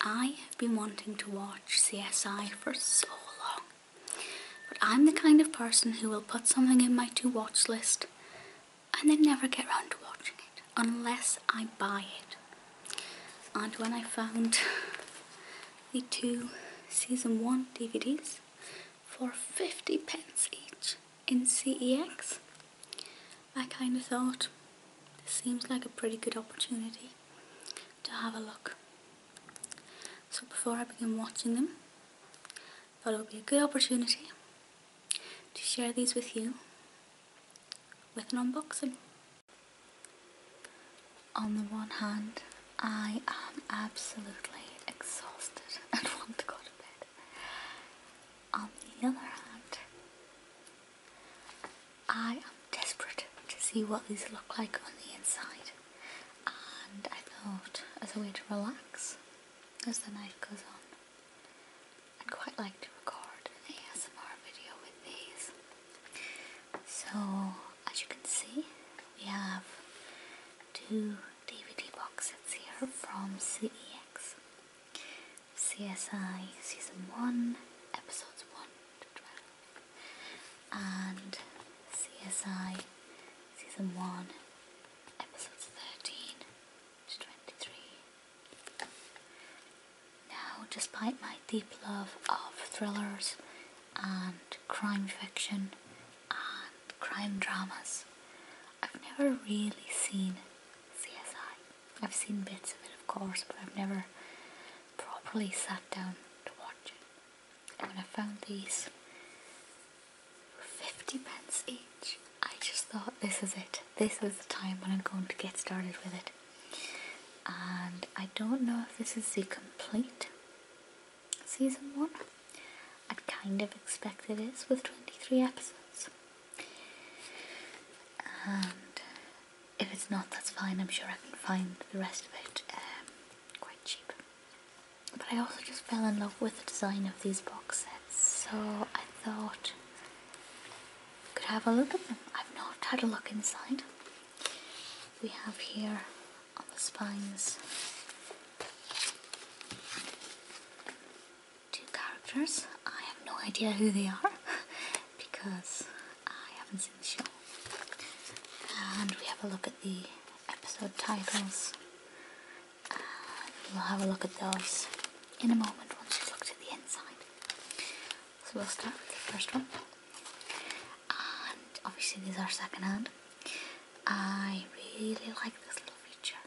I have been wanting to watch CSI for so long, but I'm the kind of person who will put something in my to watch list and then never get round to watching it unless I buy it. And when I found the two season one DVDs for 50 pence each in CEX, I kind of thought this seems like a pretty good opportunity to have a look. So before I begin watching them, I thought it would be a good opportunity to share these with you with an unboxing. On the one hand, I am absolutely exhausted and want to go to bed. On the other hand, I am desperate to see what these look like on the inside, and I thought as a way to relax as the night goes on, I'd quite like to record an ASMR video with these. So, as you can see, we have two DVD boxes here from CEX. CSI Season 1, Episodes 1 to 12, and CSI Season 1, Episodes 13 to 23. Now, despite my deep love of thrillers and crime fiction and crime dramas, I've never really seen CSI. I've seen bits of it, of course, but I've never properly sat down to watch it. when I found these for 50 pence each, I just thought this is it. This is the time when I'm going to get started with it. And I don't know if this is the complete season one. i kind of expect it is with 23 episodes. And if it's not, that's fine. I'm sure I can find the rest of it um, quite cheap. But I also just fell in love with the design of these box sets, so I thought I could have a look at them. I've not had a look inside. We have here on the spines two characters. I have no idea who they are because I haven't seen the show. And we have a look at the episode titles. we'll have a look at those in a moment once we've looked at the inside. So we'll start with the first one. And obviously these are secondhand. I really like this little feature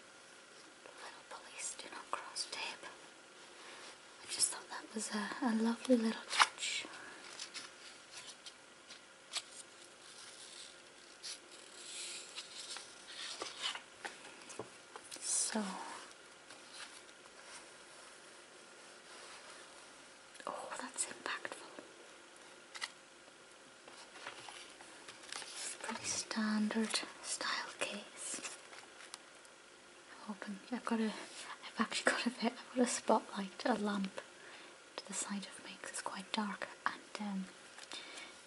little police do not cross tape. I just thought that was a, a lovely little touch. So, oh, that's impactful. It's a pretty standard style case. I'm hoping I've got a I've actually got a bit I've got a spotlight, a lamp to the side of me because it's quite dark and um,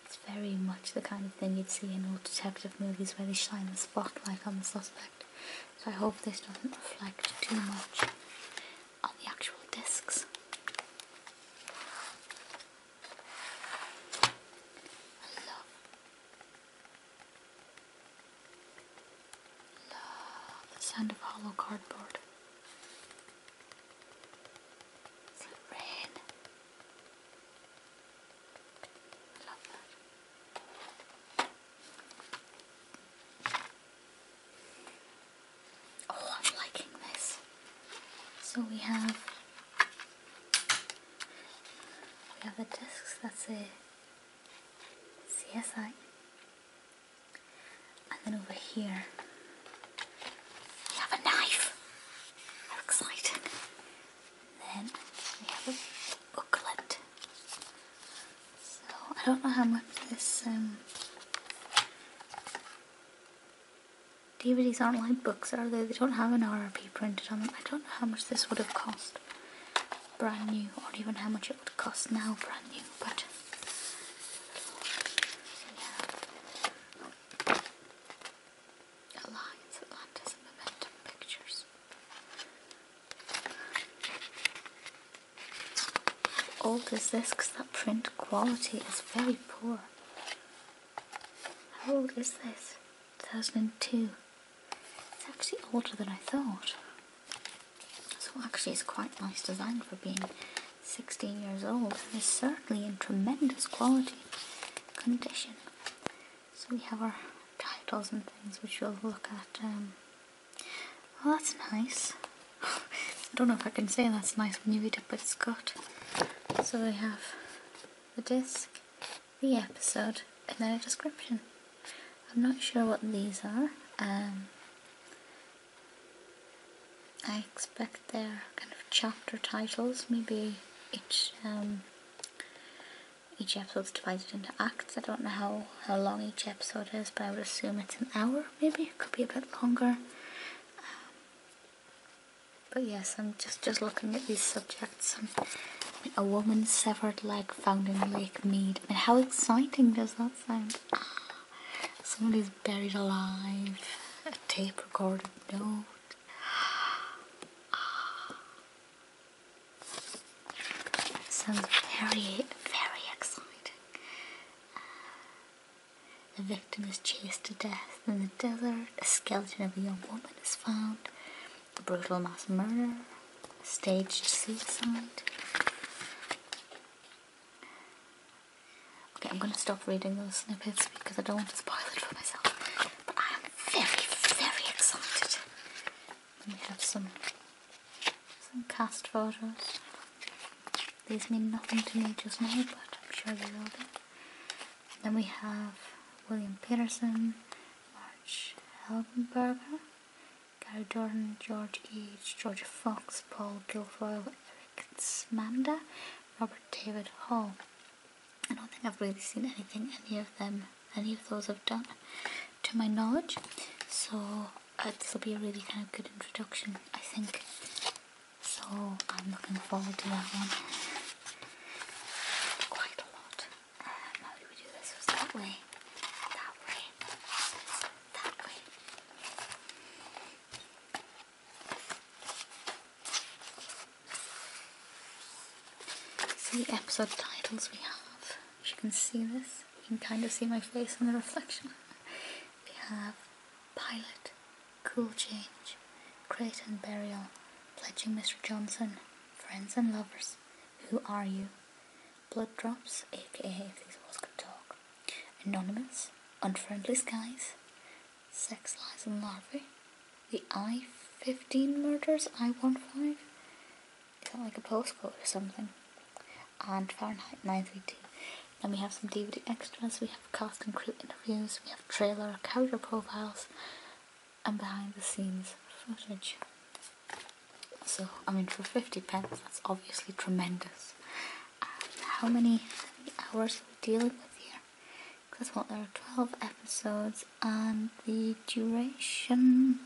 it's very much the kind of thing you'd see in old detective movies where they shine the spotlight on the suspect. So I hope this doesn't reflect too much on the actual discs. Love. Love the sound of hollow cardboard. red? love that. Oh, I'm liking this. So we have we have the discs. That's a CSI, and then over here we have a knife. How exciting! And then we have a booklet. So I don't know how much this um DVDs aren't like books, are they? They don't have an RRP printed on them. I don't know how much this would have cost brand new, or even how much it would cost now brand new, but yeah. Alliance, Atlantis, and Momentum Pictures. Old is this because that print quality is very poor. How old is this? 2002. It's actually older than I thought. So actually it's quite nice design for being 16 years old. It's certainly in tremendous quality condition. So we have our titles and things which we'll look at. Um, well that's nice. I don't know if I can say that's nice when you read it, but it's got. So we have the disc, the episode, and then a description. I'm not sure what these are. Um, I expect they're kind of chapter titles. Maybe each um, each episode's divided into acts. I don't know how, how long each episode is, but I would assume it's an hour maybe. It could be a bit longer but yes, I'm just just looking at these subjects. Um, a woman's severed leg found in Lake Mead. how exciting does that sound? Ah, Somebody's buried alive. A tape recorded note. Ah. Sounds very, very exciting. The victim is chased to death in the desert. A skeleton of a young woman is found. A brutal mass murder. Staged suicide. Okay, I'm going to stop reading those snippets because I don't want to spoil it for myself. But I am very, very excited. We have some some cast photos. These mean nothing to me just now, but I'm sure you will do. then we have William Peterson, March Helgenberger, Gary Dorn, George H. George Fox, Paul Guilfoyle, Eric Smanda, Robert David Hall. I don't think I've really seen anything any of them, any of those have done, to my knowledge. So uh, this will be a really kind of good introduction, I think. So I'm looking forward to that one quite a lot. Um, we do this? Was way? That way? That way? So the episode titles we have. If you can see this. You can kind of see my face in the reflection. We have Pilot, Cool Change, Creighton Burial, Pledging Mr. Johnson, Friends and Lovers, Who Are You, Blood Drops, aka If These Walls Could Talk, Anonymous, Unfriendly Skies, Sex Lies and Larvae, The I 15 Murders, I 15, kind of like a postcode or something. And Fahrenheit 932. Then we have some DVD extras, we have cast and crew interviews, we have trailer, character profiles, and behind the scenes footage. So, I mean, for 50 pence, that's obviously tremendous. how many, hours are we dealing with here? Because that's there are 12 episodes, and the duration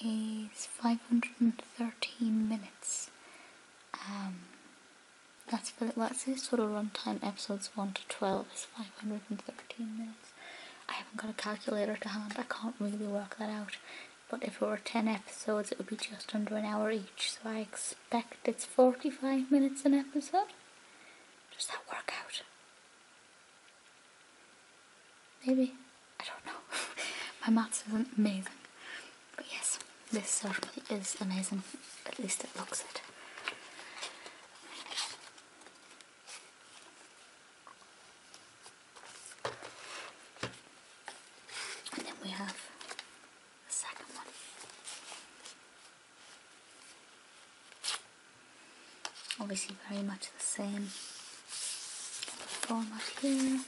is 513 minutes. Um, that's for well, it says total runtime episodes 1 to 12 is 513 minutes. I haven't got a calculator to hand, I can't really work that out. But if it were 10 episodes, it would be just under an hour each, so I expect it's 45 minutes an episode. Does that work out? Maybe. I don't know. My maths isn't amazing. But yes, this certainly is amazing. At least it looks it. And then we have the second one. Obviously very much the same format here.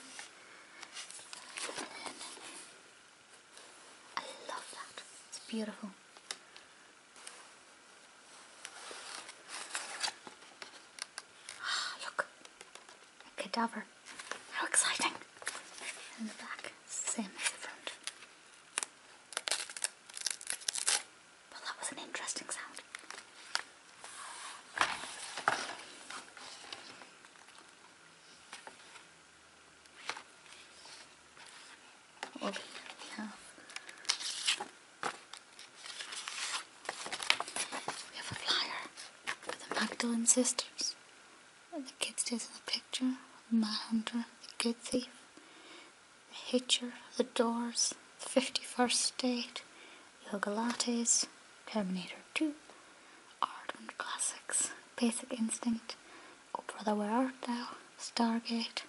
I love that. It's beautiful. Ah, look. A cadaver. How exciting. In the back, same as the front. Well, that was an interesting sound. Okay, we we have a flyer for the Magdalene sisters. The kid stays in the picture. Manhunter, the good thief, Hitcher, The Doors, The 51st State, Yoga Lattes, Terminator 2, Art and Classics, Basic Instinct, Oh Brother Where Art Thou, Stargate,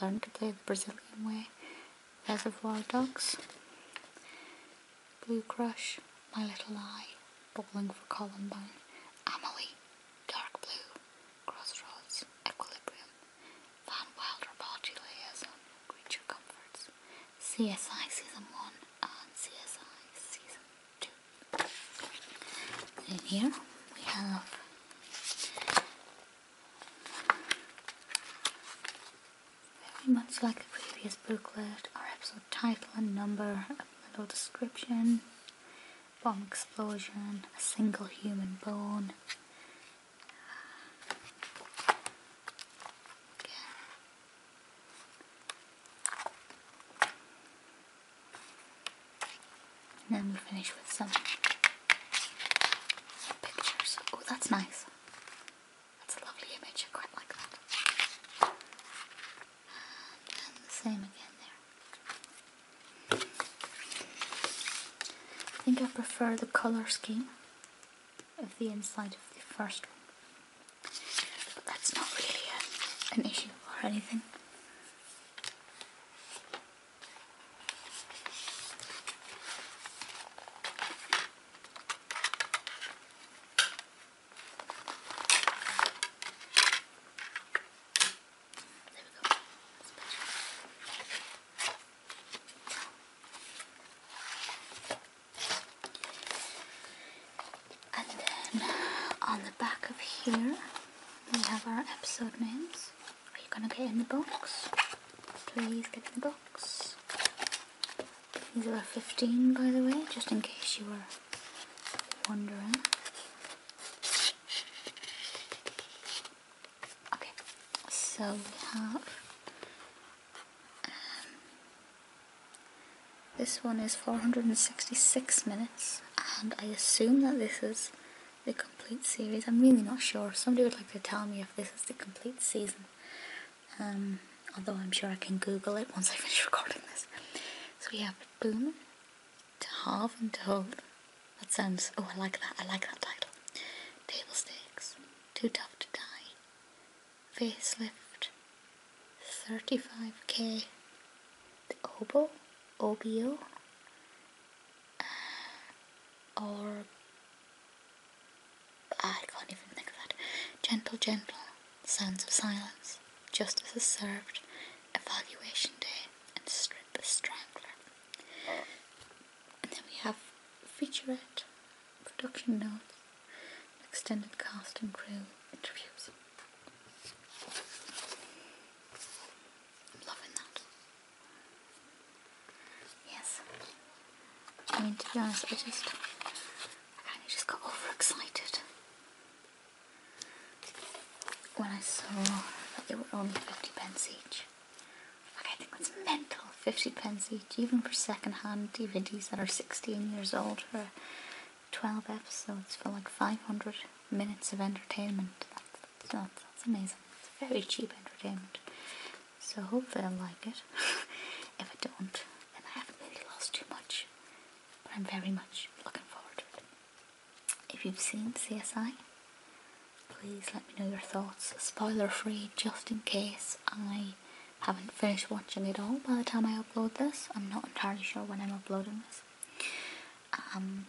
Learn to Play the Brazilian Way, Reservoir Dogs, Blue Crush, My Little Eye, Bowling for Columbine, Amelie, Dark Blue, Crossroads, Equilibrium, Van Wilder Body Creature Comforts, CSI Season 1 and CSI Season 2. In here we have very much like a previous booklet, our episode title and number, a little description, bomb explosion, a single human bone. And then we finish with some pictures. Oh, that's nice. That's a lovely image. quite like that. same again there. I think I prefer the color scheme of the inside of the first one. But that's not really uh, an issue or anything. And then on the back of here, we have our episode names. Are you gonna get in the box? Please get in the box. These are 15 by the way, just in case you were wondering. Okay, so we have um, this one is 466 minutes, and I assume that this is the complete series. I'm really not sure. Somebody would like to tell me if this is the complete season. Um, although I'm sure I can Google it once I finish recording this. So we have Boom, to have and to hold. That sounds, oh, I like that, I like that title. Table stakes, too tough to die. Face lift. 35k. The oboe, OBO, uh, or I can't even think of that. Gentle, gentle, sounds of silence. Justice is served. Evaluation Day, and Strip the Strangler. And then we have featurette, production notes, extended cast and crew interviews. I'm loving that. Yes. I mean, to be honest, I just, I kind of just got overexcited when I saw that they were only 50 pence each. Like, I think that's mental. 50 pence each, even for second-hand DVDs that are 16 years old for 12 episodes for like 500 minutes of entertainment. That's, that's, that's amazing. It's very cheap entertainment. So hopefully i like it. if I don't, then I haven't really lost too much. But I'm very much looking forward to it. If you've seen CSI, please let me know your thoughts, spoiler free, just in case I haven't finished watching it all by the time I upload this. I'm not entirely sure when I'm uploading this. Um,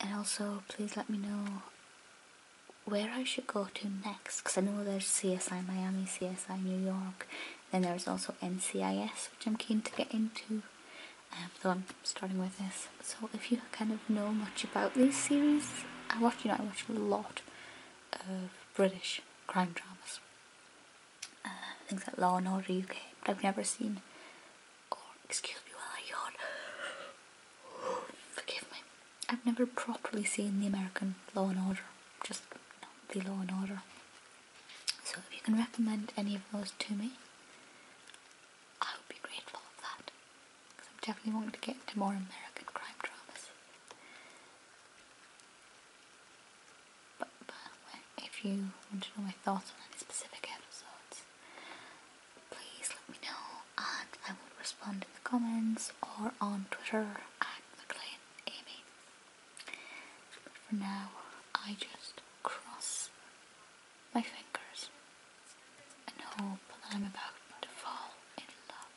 and also, please let me know where I should go to next because I know there's CSI Miami, CSI New York, then there's also NCIS, which I'm keen to get into. Um, so I'm starting with this. So if you kind of know much about these series, I watch you know I watch a lot of British crime dramas, uh, things like Law and Order But I've never seen. Or excuse me while I yawn. Forgive me. I've never properly seen the American Law and Order. Just the Law and Order. So if you can recommend any of those to me, I would be grateful for that. Because I'm definitely wanting to get into more American crime dramas. but if you want to know my thoughts on any specific episodes, please let me know and I will respond in the comments or on Twitter at McLean Amy for now, I just cross my fingers and hope that I'm about to fall in love.